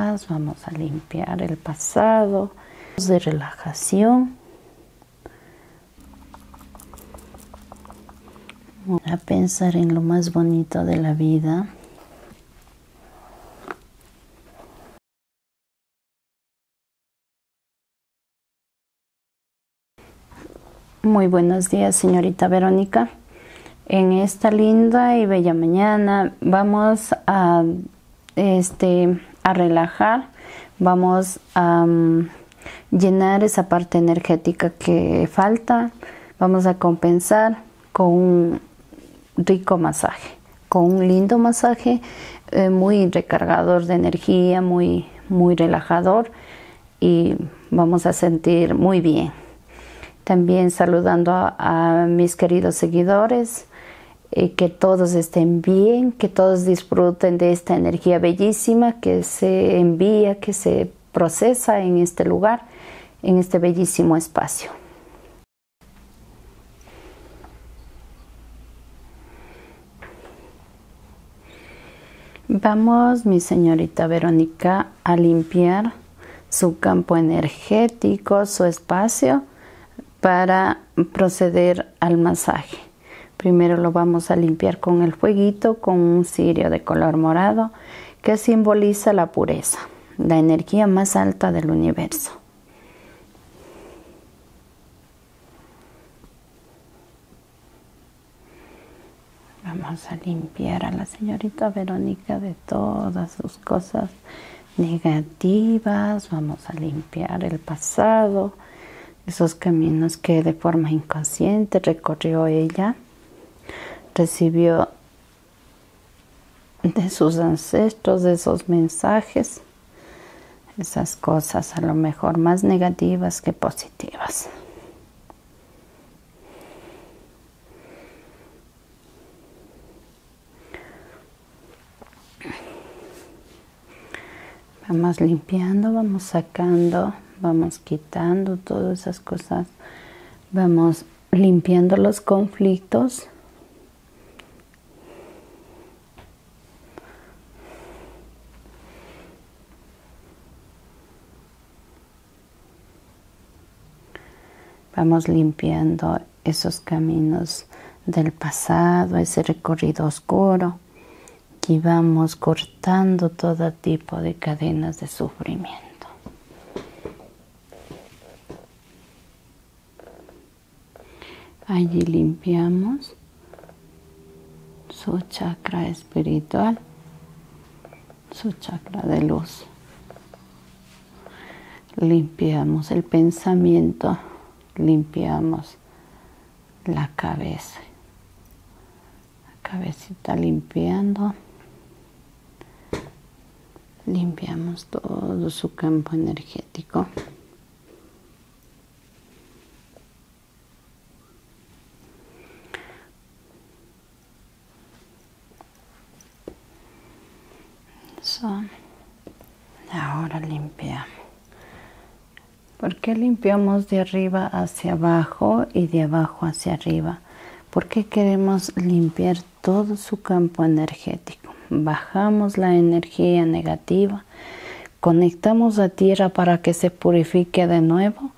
Vamos a limpiar el pasado de relajación. A pensar en lo más bonito de la vida. Muy buenos días, señorita Verónica en esta linda y bella mañana vamos a este a relajar vamos a mm, llenar esa parte energética que falta vamos a compensar con un rico masaje con un lindo masaje eh, muy recargador de energía muy muy relajador y vamos a sentir muy bien también saludando a, mis queridos seguidores, eh, que todos estén bien, que todos disfruten de esta energía bellísima que se envía, que se procesa en este lugar, en este bellísimo espacio. Vamos, mi señorita Verónica, a limpiar su campo energético, su espacio para proceder al masaje. Primero lo vamos a limpiar con el fueguito, con un cirio de color morado que simboliza la pureza, la energía más alta del universo. Vamos a limpiar a la señorita Verónica de todas sus cosas negativas, vamos a limpiar el pasado, esos caminos que de forma inconsciente recorrió ella, recibió de sus ancestros, de esos mensajes, esas cosas a lo mejor más negativas que positivas. Vamos limpiando, vamos sacando, vamos quitando todas esas cosas, vamos limpiando los conflictos. Vamos limpiando esos caminos del pasado, ese recorrido oscuro y vamos cortando todo tipo de cadenas de sufrimiento. Allí limpiamos su chakra espiritual, su chakra de luz limpiamos el pensamiento, limpiamos la cabeza. La cabecita limpiando. Limpiamos todo su campo energético. Ahora limpiamos. ¿Por qué limpiamos de arriba hacia abajo y de abajo hacia arriba? Porque queremos limpiar todo su campo energético. Bajamos la energía negativa, conectamos la tierra para que se purifique de nuevo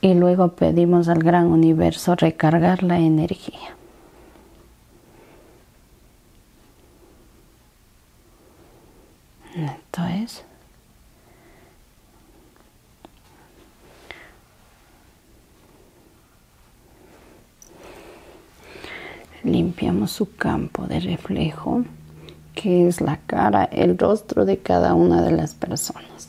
y luego pedimos al gran universo recargar la energía. Entonces Limpiamos su campo de reflejo, que es la cara, el rostro de cada una de las personas.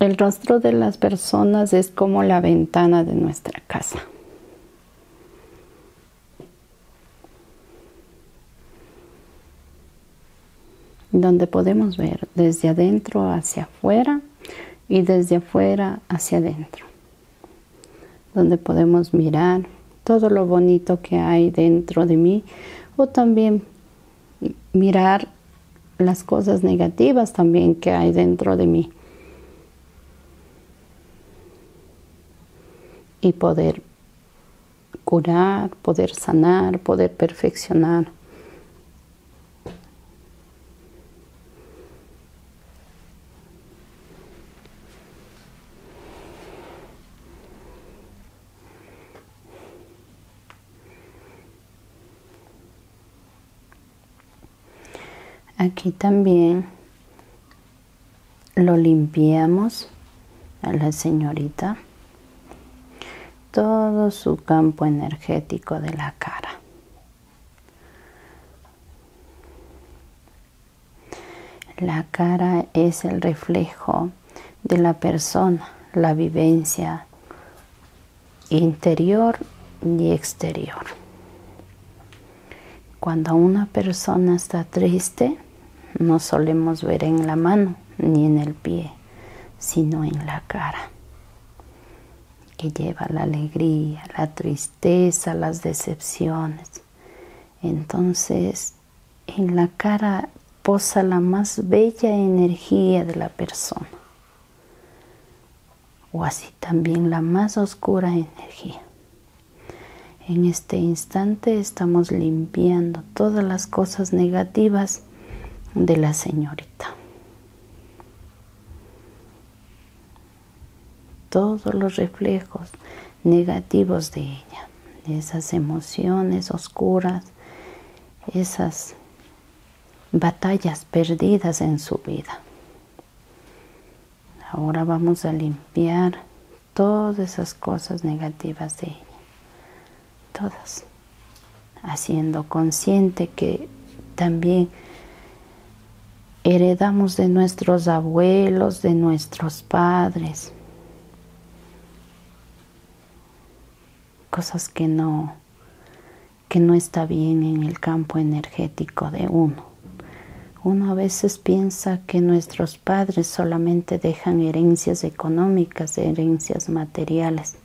El rostro de las personas es como la ventana de nuestra casa. donde podemos ver desde adentro hacia afuera y desde afuera hacia adentro, donde podemos mirar todo lo bonito que hay dentro de mí o también mirar las cosas negativas también que hay dentro de mí y poder curar, poder sanar, poder perfeccionar aquí también lo limpiamos a la señorita todo su campo energético de la cara la cara es el reflejo de la persona la vivencia interior y exterior. Cuando una persona está triste, no solemos ver en la mano ni en el pie, sino en la cara, que lleva la alegría, la tristeza, las decepciones. Entonces, en la cara posa la más bella energía de la persona o así también la más oscura energía. En este instante estamos limpiando todas las cosas negativas de la señorita. Todos los reflejos negativos de ella, esas emociones oscuras, esas batallas perdidas en su vida. Ahora vamos a limpiar todas esas cosas negativas de ella. Todas. Haciendo consciente que también heredamos de nuestros abuelos, de nuestros padres. Cosas que no que no está bien en el campo energético de uno. Uno a veces piensa que nuestros padres solamente dejan herencias económicas, herencias materiales,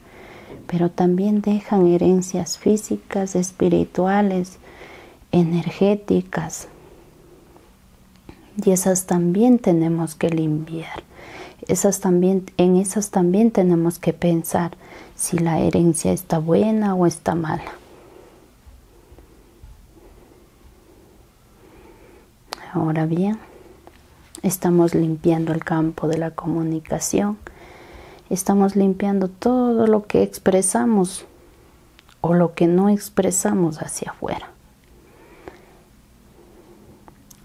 pero también dejan herencias físicas, espirituales, energéticas. Y esas también tenemos que limpiar en esas también tenemos que pensar si la herencia está buena o está mala. Ahora bien, estamos limpiando el campo de la comunicación, estamos limpiando todo lo que expresamos o lo que no expresamos hacia afuera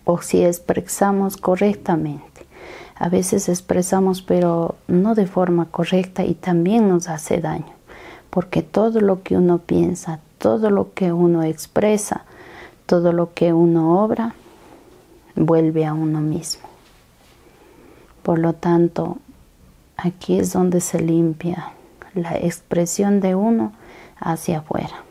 o si expresamos correctamente. A veces expresamos pero no de forma correcta y también nos hace daño, porque todo lo que uno piensa, todo lo que uno expresa, todo lo que uno obra, vuelve a uno mismo. Por lo tanto, aquí es donde se limpia la expresión de uno hacia afuera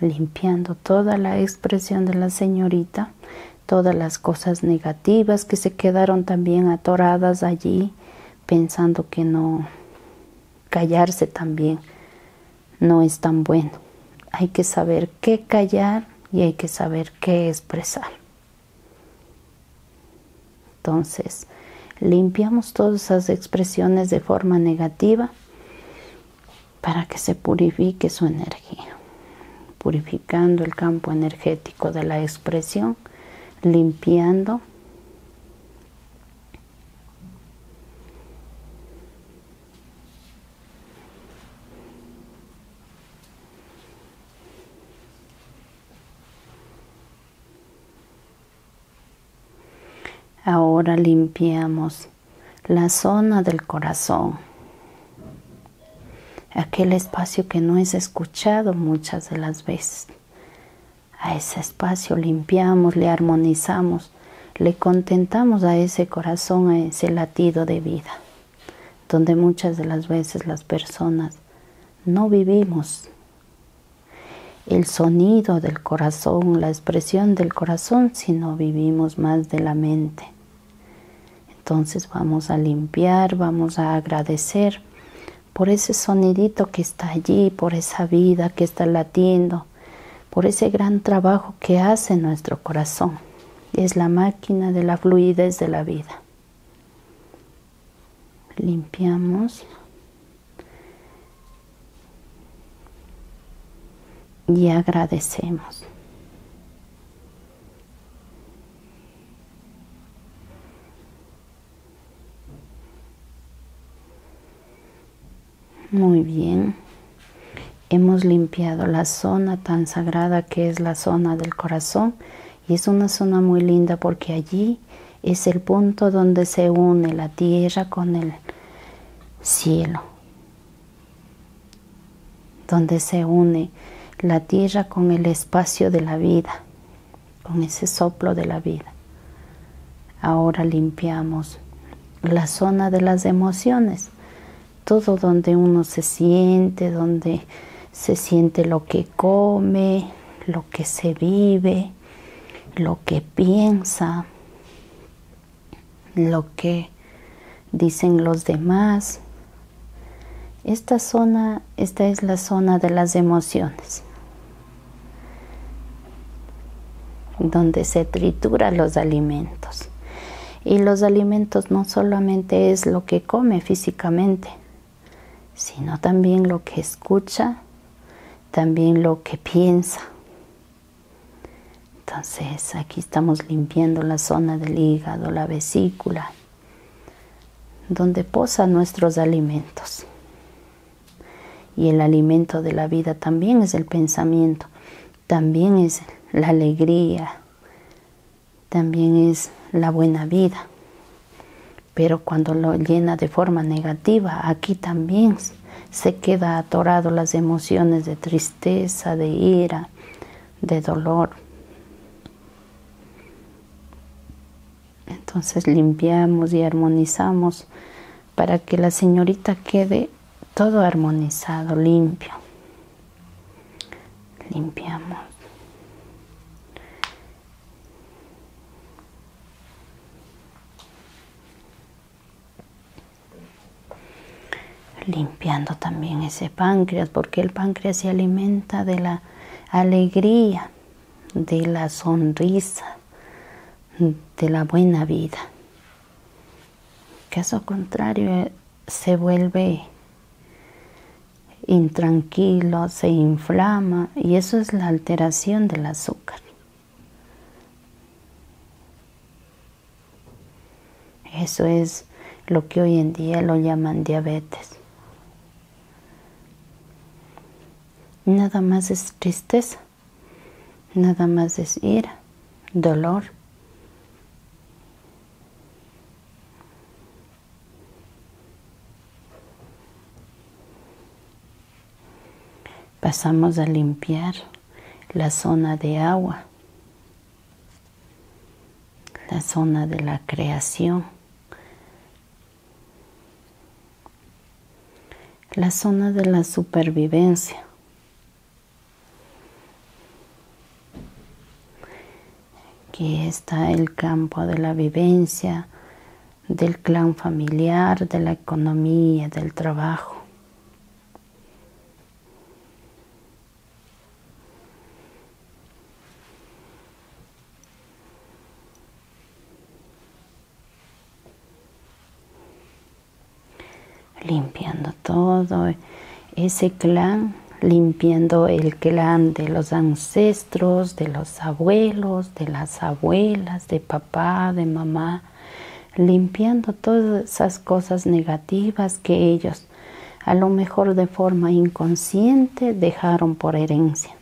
limpiando toda la expresión de la señorita, todas las cosas negativas que se quedaron también atoradas allí, pensando que no callarse también no es tan bueno. Hay que saber qué callar y hay que saber qué expresar. Entonces, limpiamos todas esas expresiones de forma negativa para que se purifique su energía, purificando el campo energético de la expresión, limpiando Ahora limpiamos la zona del corazón, aquel espacio que no es escuchado muchas de las veces. A ese espacio limpiamos, le armonizamos, le contentamos a ese corazón, a ese latido de vida, donde muchas de las veces las personas no vivimos el sonido del corazón, la expresión del corazón, si no vivimos más de la mente. Entonces vamos a limpiar, vamos a agradecer por ese sonidito que está allí, por esa vida que está latiendo, por ese gran trabajo que hace nuestro corazón. Es la máquina de la fluidez de la vida limpiamos y agradecemos. Muy bien. Hemos limpiado la zona tan sagrada que es la zona del corazón y es una zona muy linda porque allí es el punto donde se une la tierra con el cielo, donde se une la tierra con el espacio de la vida, con ese soplo de la vida. Ahora limpiamos la zona de las emociones, todo donde uno se siente, donde se siente lo que come, lo que se vive, lo que piensa, lo que dicen los demás. Esta zona, esta es la zona de las emociones, donde se tritura los alimentos. Y los alimentos no solamente es lo que come físicamente, sino también lo que escucha, también lo que piensa. Entonces aquí estamos limpiando la zona del hígado, la vesícula, donde posan nuestros alimentos. Y el alimento de la vida también es el pensamiento, también es la alegría, también es la buena vida, pero cuando lo llena de forma negativa, aquí también se queda atorado las emociones de tristeza, de ira, de dolor. Entonces limpiamos y armonizamos para que la señorita quede todo armonizado, limpio. Limpiamos. Limpiando también ese páncreas, porque el páncreas se alimenta de la alegría, de la sonrisa, de la buena vida. Caso contrario, eh, se vuelve intranquilo, se inflama y eso es la alteración del azúcar. Eso es lo que hoy en día lo llaman diabetes. Nada más es tristeza, nada más es ira, dolor. Pasamos a limpiar la zona de agua, la zona de la creación, la zona de la supervivencia. Aquí está el campo de la vivencia, del clan familiar, de la economía, del trabajo. Limpiando todo ese clan, limpiando el clan de los ancestros, de los abuelos, de las abuelas, de papá, de mamá, limpiando todas esas cosas negativas que ellos, a lo mejor de forma inconsciente, dejaron por herencia.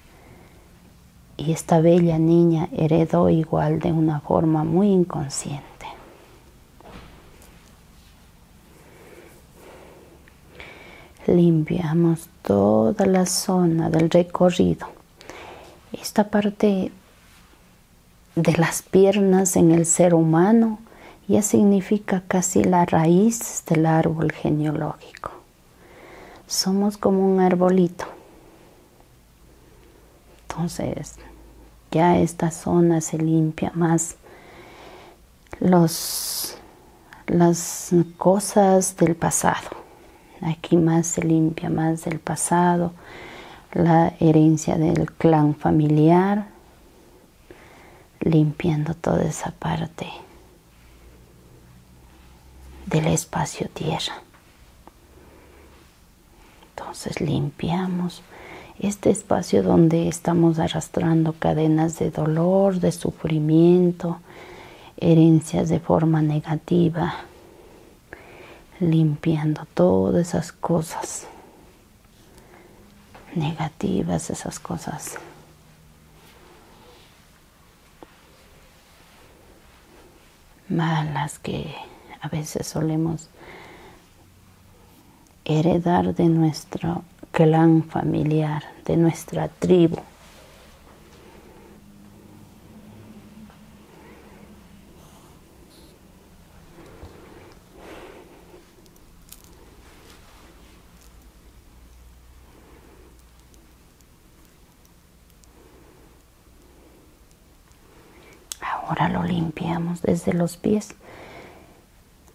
Y esta bella niña heredó igual de una forma muy inconsciente. Limpiamos toda la zona del recorrido esta parte de las piernas en el ser humano ya significa casi la raíz del árbol genealógico. Somos como un arbolito. Entonces, ya esta zona se limpia más. las cosas del pasado Aquí más se limpia más del pasado, la herencia del clan familiar, limpiando toda esa parte del espacio tierra. Entonces limpiamos este espacio donde estamos arrastrando cadenas de dolor, de sufrimiento, herencias de forma negativa, limpiando todas esas cosas negativas, esas cosas. malas que a veces solemos heredar de nuestro clan familiar, de nuestra tribu. Ahora lo limpiamos desde los pies,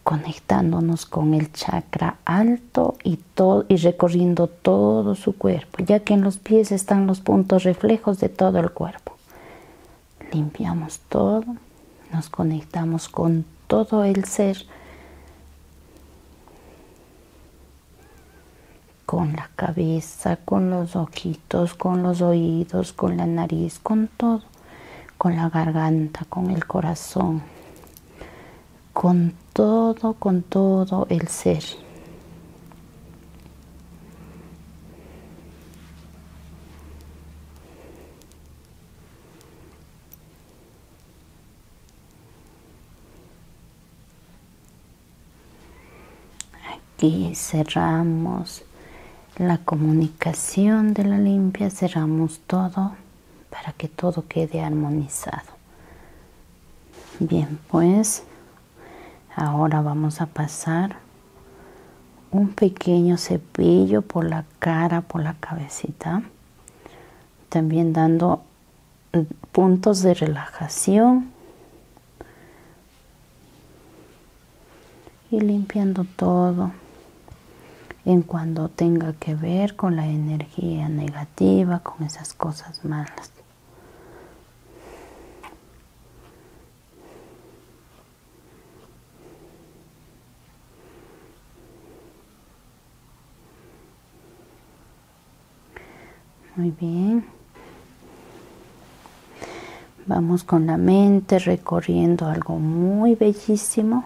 conectándonos con el chakra alto y y, recorriendo todo su cuerpo, ya que en los pies están los puntos reflejos de todo el cuerpo. Limpiamos todo, nos conectamos con todo el ser, con la cabeza, con los ojitos, con los oídos, con la nariz, con todo, con la garganta, con el corazón, con todo, con todo el ser. Aquí cerramos la comunicación de la limpia, cerramos todo para que todo quede armonizado bien pues ahora vamos a pasar un pequeño cepillo por la cara por la cabecita también dando puntos de relajación y limpiando todo en cuando tenga que ver con la energía negativa, con esas cosas malas. Muy bien. Vamos con la mente recorriendo algo muy bellísimo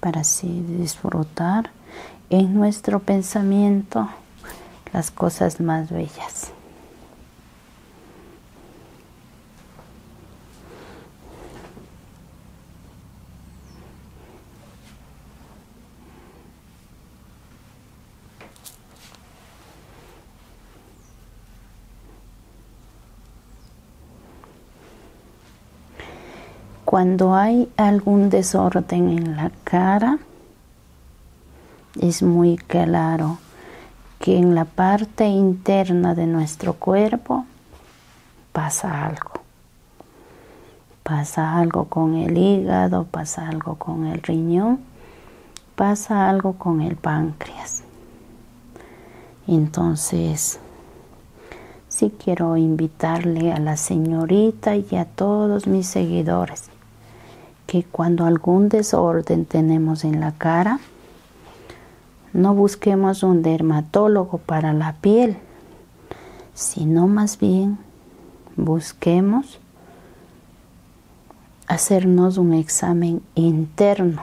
para así disfrutar en nuestro pensamiento las cosas más bellas. Cuando hay algún desorden en la cara, es muy claro que en la parte interna de nuestro cuerpo pasa algo. Pasa algo con el hígado, pasa algo con el riñón, pasa algo con el páncreas. Entonces, si quiero invitarle a la señorita y a todos mis seguidores que cuando algún desorden tenemos en la cara, no busquemos un dermatólogo para la piel, sino más bien busquemos hacernos un examen interno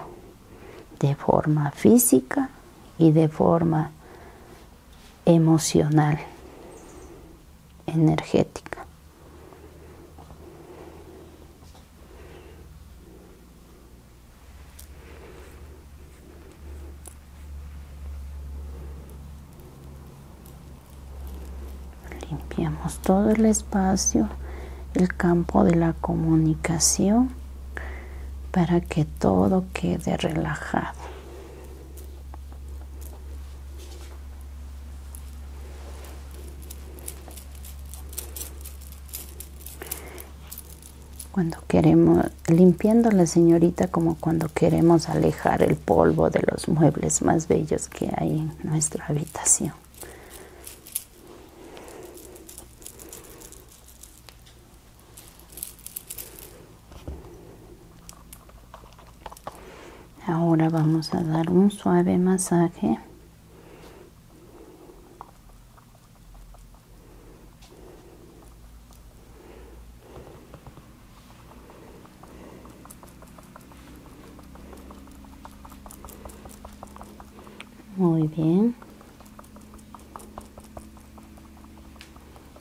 de forma física y de forma emocional, energética. Limpiamos todo el espacio, el campo de la comunicación para que todo quede relajado. Cuando queremos, limpiando la señorita como cuando queremos alejar el polvo de los muebles más bellos que hay en nuestra habitación. Ahora vamos a dar un suave masaje. Muy bien.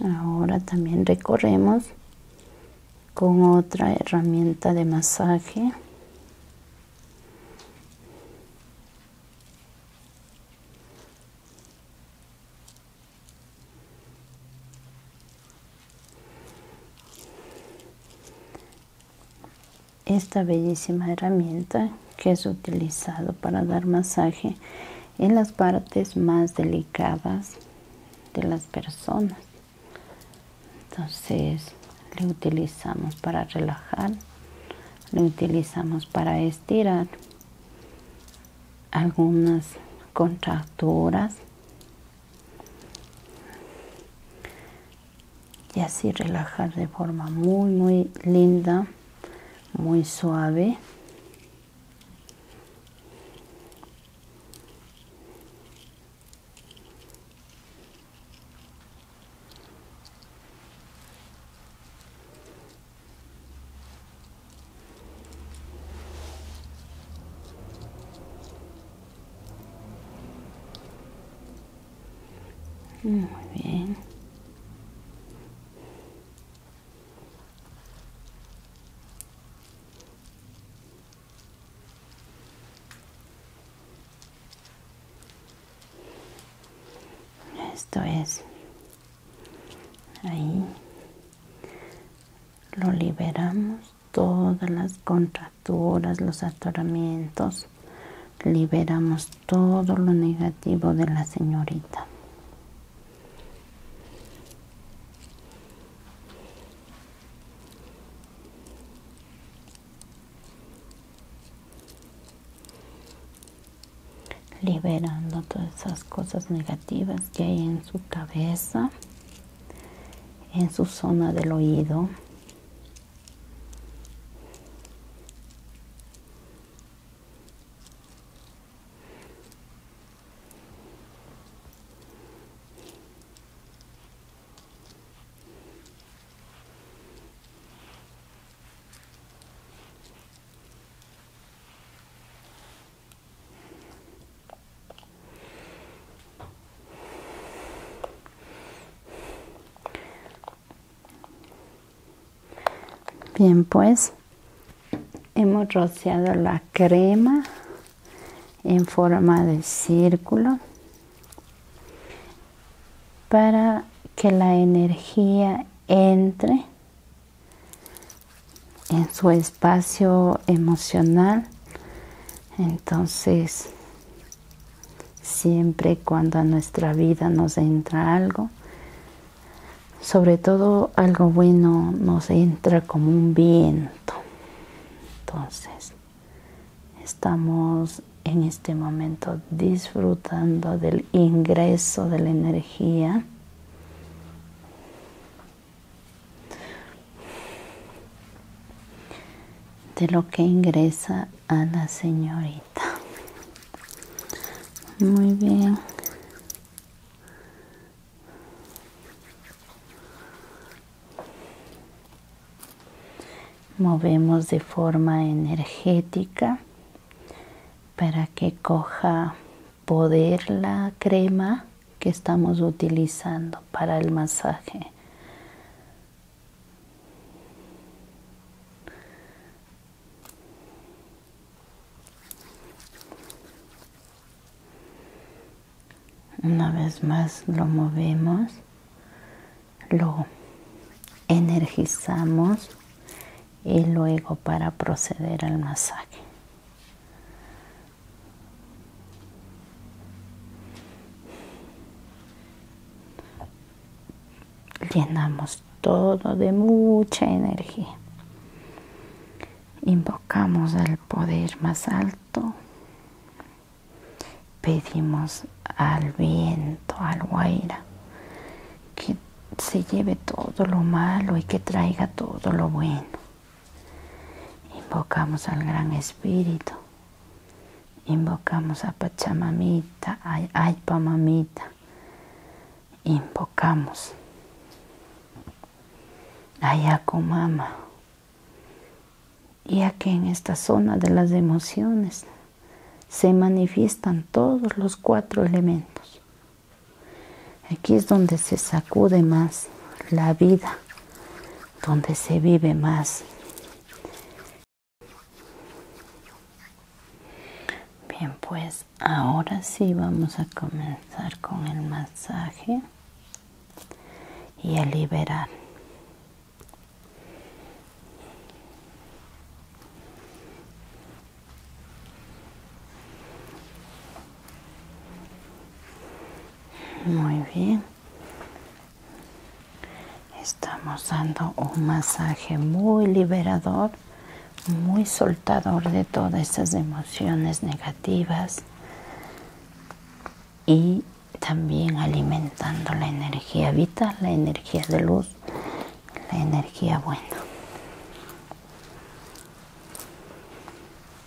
Ahora también recorremos con otra herramienta de masaje. Esta bellísima herramienta que es utilizado para dar masaje en las partes más delicadas de las personas. Entonces, le utilizamos para relajar, lo utilizamos para estirar algunas contracturas y así relajar de forma muy muy linda muy suave muy bien. Esto es. Ahí lo liberamos todas las contracturas, los atoramientos, liberamos todo lo negativo de la señorita. liberando todas esas cosas negativas que hay en su cabeza en su zona del oído Bien, pues hemos rociado la crema en forma de círculo para que la energía entre en su espacio emocional. Entonces, siempre cuando a nuestra vida nos entra algo, sobre todo algo bueno nos entra como un viento. Entonces, estamos en este momento disfrutando del ingreso de la energía de lo que ingresa a la señorita muy bien movemos de forma energética para que coja poder la crema que estamos utilizando para el masaje. Una vez más lo movemos, lo energizamos y luego para proceder al masaje. Llenamos todo de mucha energía. Invocamos al poder más alto. Pedimos al viento, al guaira, que se lleve todo lo malo y que traiga todo lo bueno Invocamos al Gran Espíritu. Invocamos a Pachamamita, a Mamita, Invocamos a y Ya que en esta zona de las emociones se manifiestan todos los cuatro elementos. Aquí es donde se sacude más la vida, donde se vive más. Bien, pues ahora sí vamos a comenzar con el masaje y a liberar. Muy bien. Estamos dando un masaje muy liberador, muy soltador de todas esas emociones negativas y también alimentando la energía vital, la energía de luz, la energía buena.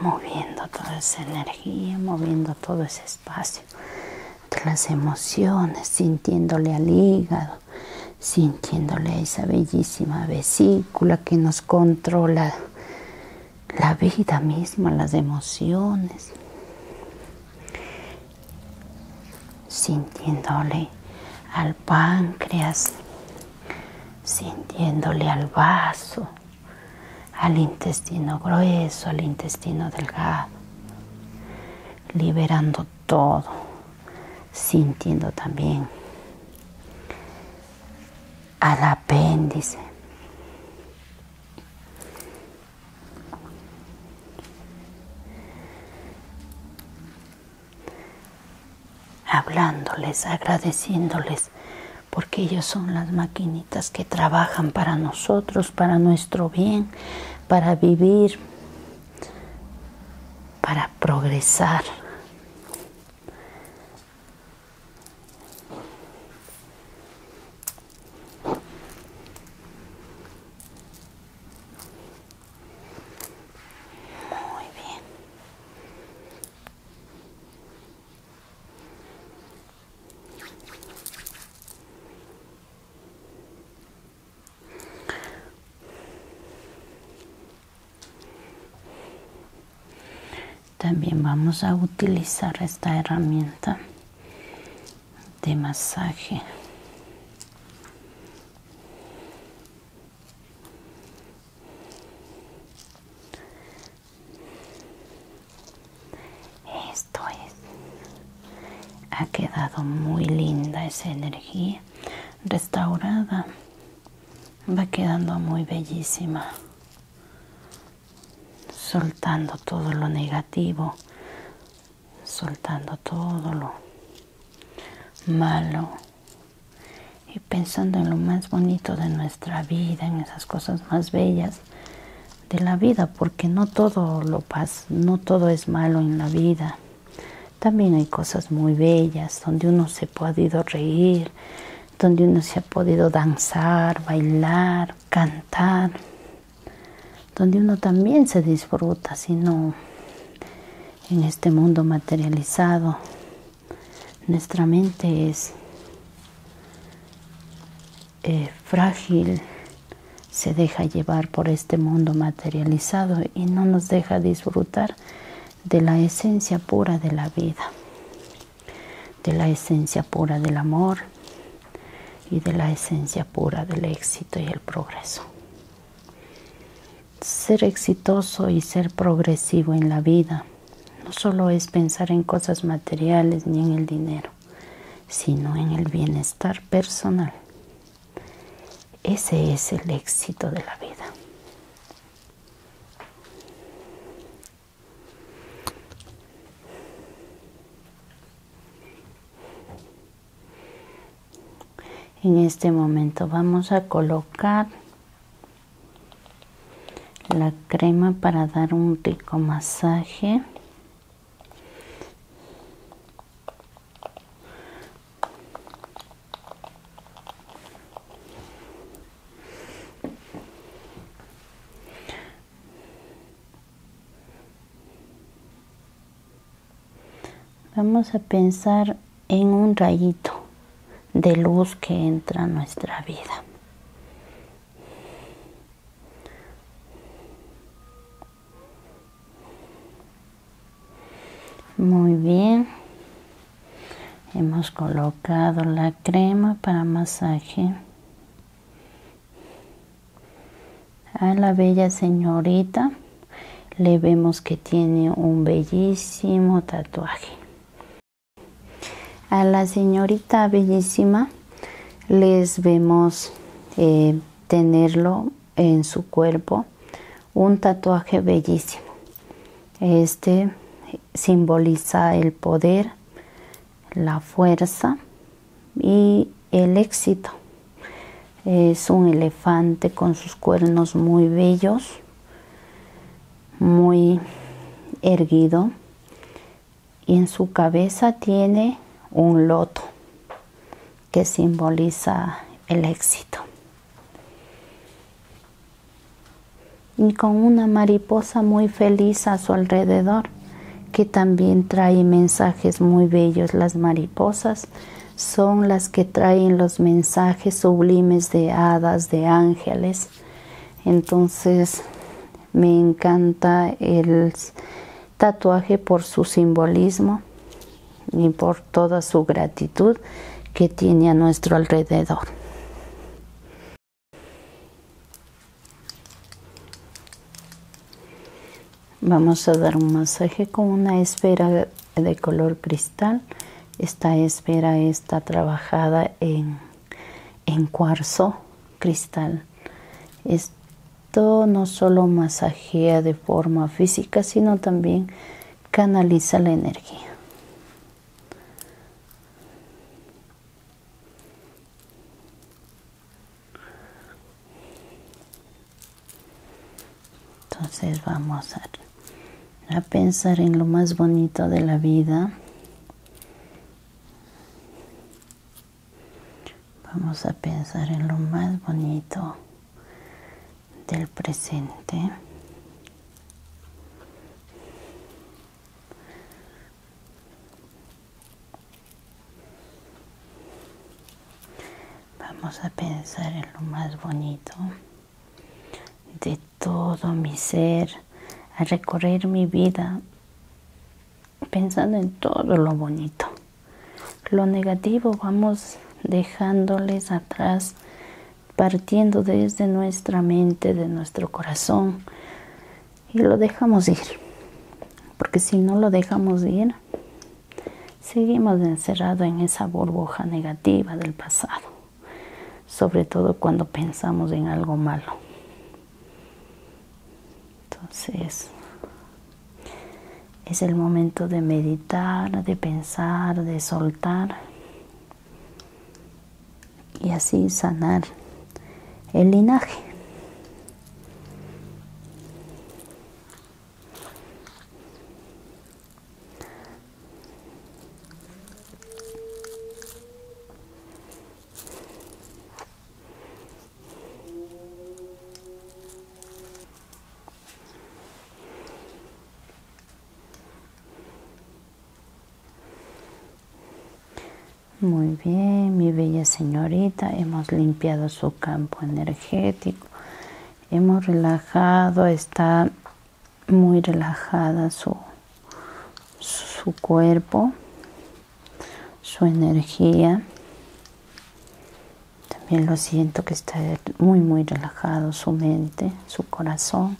moviendo toda esa energía, moviendo todo ese espacio, las emociones, sintiéndole al hígado, sintiéndole a esa bellísima vesícula que nos controla la vida misma, las emociones, sintiéndole al páncreas, sintiéndole al vaso al intestino grueso, al intestino delgado, liberando todo, sintiendo también al apéndice. Hablándoles, agradeciéndoles porque ellos son las maquinitas que trabajan para nosotros, para nuestro bien, para vivir, para progresar. Muy bien. También vamos a utilizar esta herramienta de masaje. Esto es. Ha quedado muy linda esa energía restaurada. Va quedando muy bellísima. Soltando todo lo negativo. Soltando todo lo malo. Y pensando en lo más bonito de nuestra vida, las cosas más bellas de la vida, porque no todo lo no todo es malo en la vida. También hay cosas muy bellas donde uno se ha podido reír, donde uno se ha podido danzar, bailar, cantar, donde uno también se disfruta, sino en este mundo materializado nuestra mente es eh, frágil, se deja llevar por este mundo materializado y no nos deja disfrutar de la esencia pura de la vida, de la esencia pura del amor y de la esencia pura del éxito y el progreso. Ser exitoso y ser progresivo en la vida no solo es pensar en cosas materiales ni en el dinero, sino en el bienestar personal. Ese es el éxito de la vida. En este momento vamos a colocar la crema para dar un rico masaje vamos a pensar en un rayito de luz que entra a nuestra vida. Muy bien. Hemos colocado la crema para masaje a la bella señorita. Le vemos que tiene un bellísimo tatuaje. A la señorita bellísima les vemos eh, tenerlo en su cuerpo un tatuaje bellísimo. Este simboliza el poder, la fuerza y el éxito. Es un elefante con sus cuernos muy bellos, muy erguido y en su cabeza tiene un loto que simboliza el éxito. Y con una mariposa muy feliz a su alrededor, que también trae mensajes muy bellos. Las mariposas son las que traen los mensajes sublimes de hadas, de ángeles, entonces me encanta el tatuaje por su simbolismo y por toda su gratitud que tiene a nuestro alrededor. Vamos a dar un masaje con una esfera de color cristal. Esta esfera está trabajada en en cuarzo cristal. Esto no solo masajea de forma física, sino también canaliza la energía. Entonces vamos a, a pensar en lo más bonito de la vida Vamos a pensar en lo más bonito del presente. Vamos a pensar en lo más bonito de todo mi ser, a recorrer mi vida pensando en todo lo bonito. Lo negativo vamos dejándoles atrás, partiendo desde nuestra mente, de nuestro corazón, y lo dejamos ir. Porque si no lo dejamos ir, seguimos encerrados en esa burbuja negativa del pasado sobre todo cuando pensamos en algo malo. Entonces, es el momento de meditar, de pensar, de soltar y así sanar el linaje. Muy bien, mi bella señorita, hemos limpiado su campo energético, hemos relajado, esta muy relajada su, su cuerpo, su energía. También lo siento que está muy, muy relajado su mente, su corazón.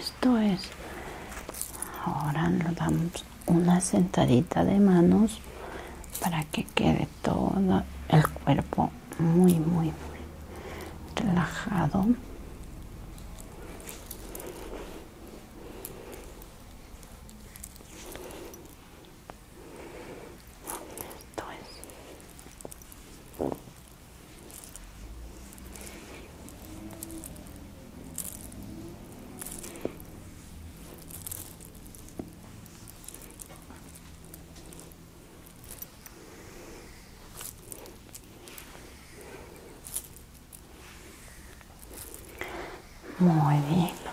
Esto es. Ahora nos damos una sentadita de manos para que quede todo el cuerpo muy, muy, muy relajado. Esto es. Muy bien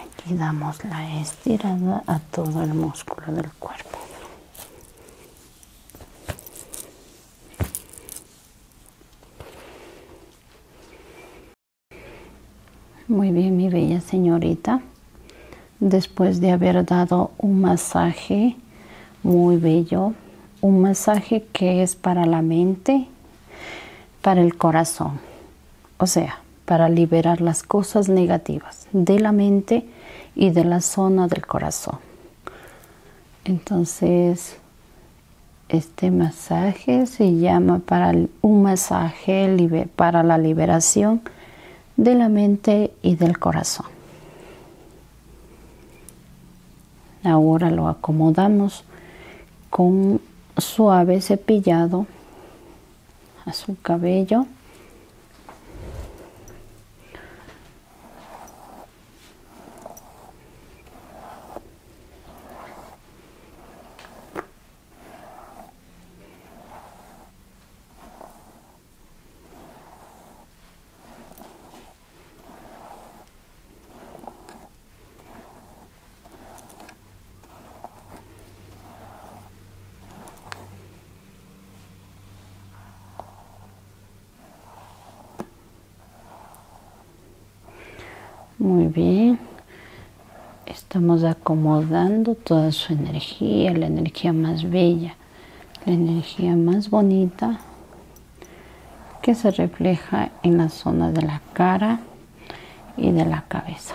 aquí damos la estirada a todo el músculo del cuerpo muy bien mi bella señorita después de haber dado un masaje muy bello un masaje que es para la mente para el corazón o sea, para liberar las cosas negativas de la mente y de la zona del corazón. Entonces, este masaje se llama para un masaje para la liberación de la mente y del corazón. Ahora lo acomodamos con suave cepillado a su cabello muy bien. Estamos acomodando toda su energía, la energía más bella, la energía más bonita que se refleja en la zona de la cara y de la cabeza.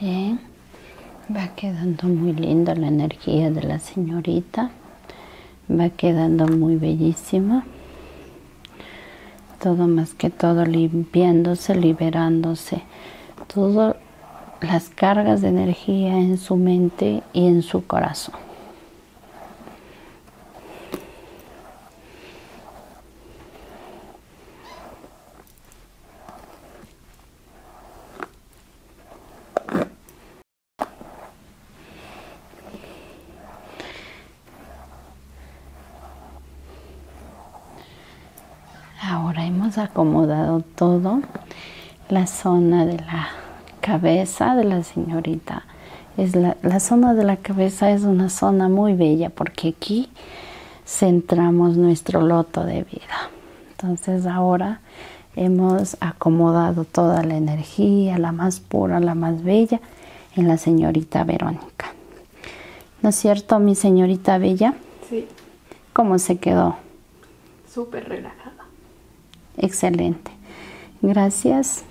Bien, va quedando muy linda la energía de la señorita, va quedando muy bellísima. Todo más que todo limpiándose, liberándose. Todas las cargas de energía en su mente y en su corazón. Ahora hemos acomodado todo la zona de la cabeza de la señorita la, zona de la cabeza es una zona muy bella porque aquí centramos nuestro loto de vida. Entonces ahora hemos acomodado toda la energía, la más pura, la más bella, en la señorita Verónica. ¿No es cierto, mi señorita Bella? Sí. ¿Cómo se quedó? Súper relajada. Excelente. Gracias.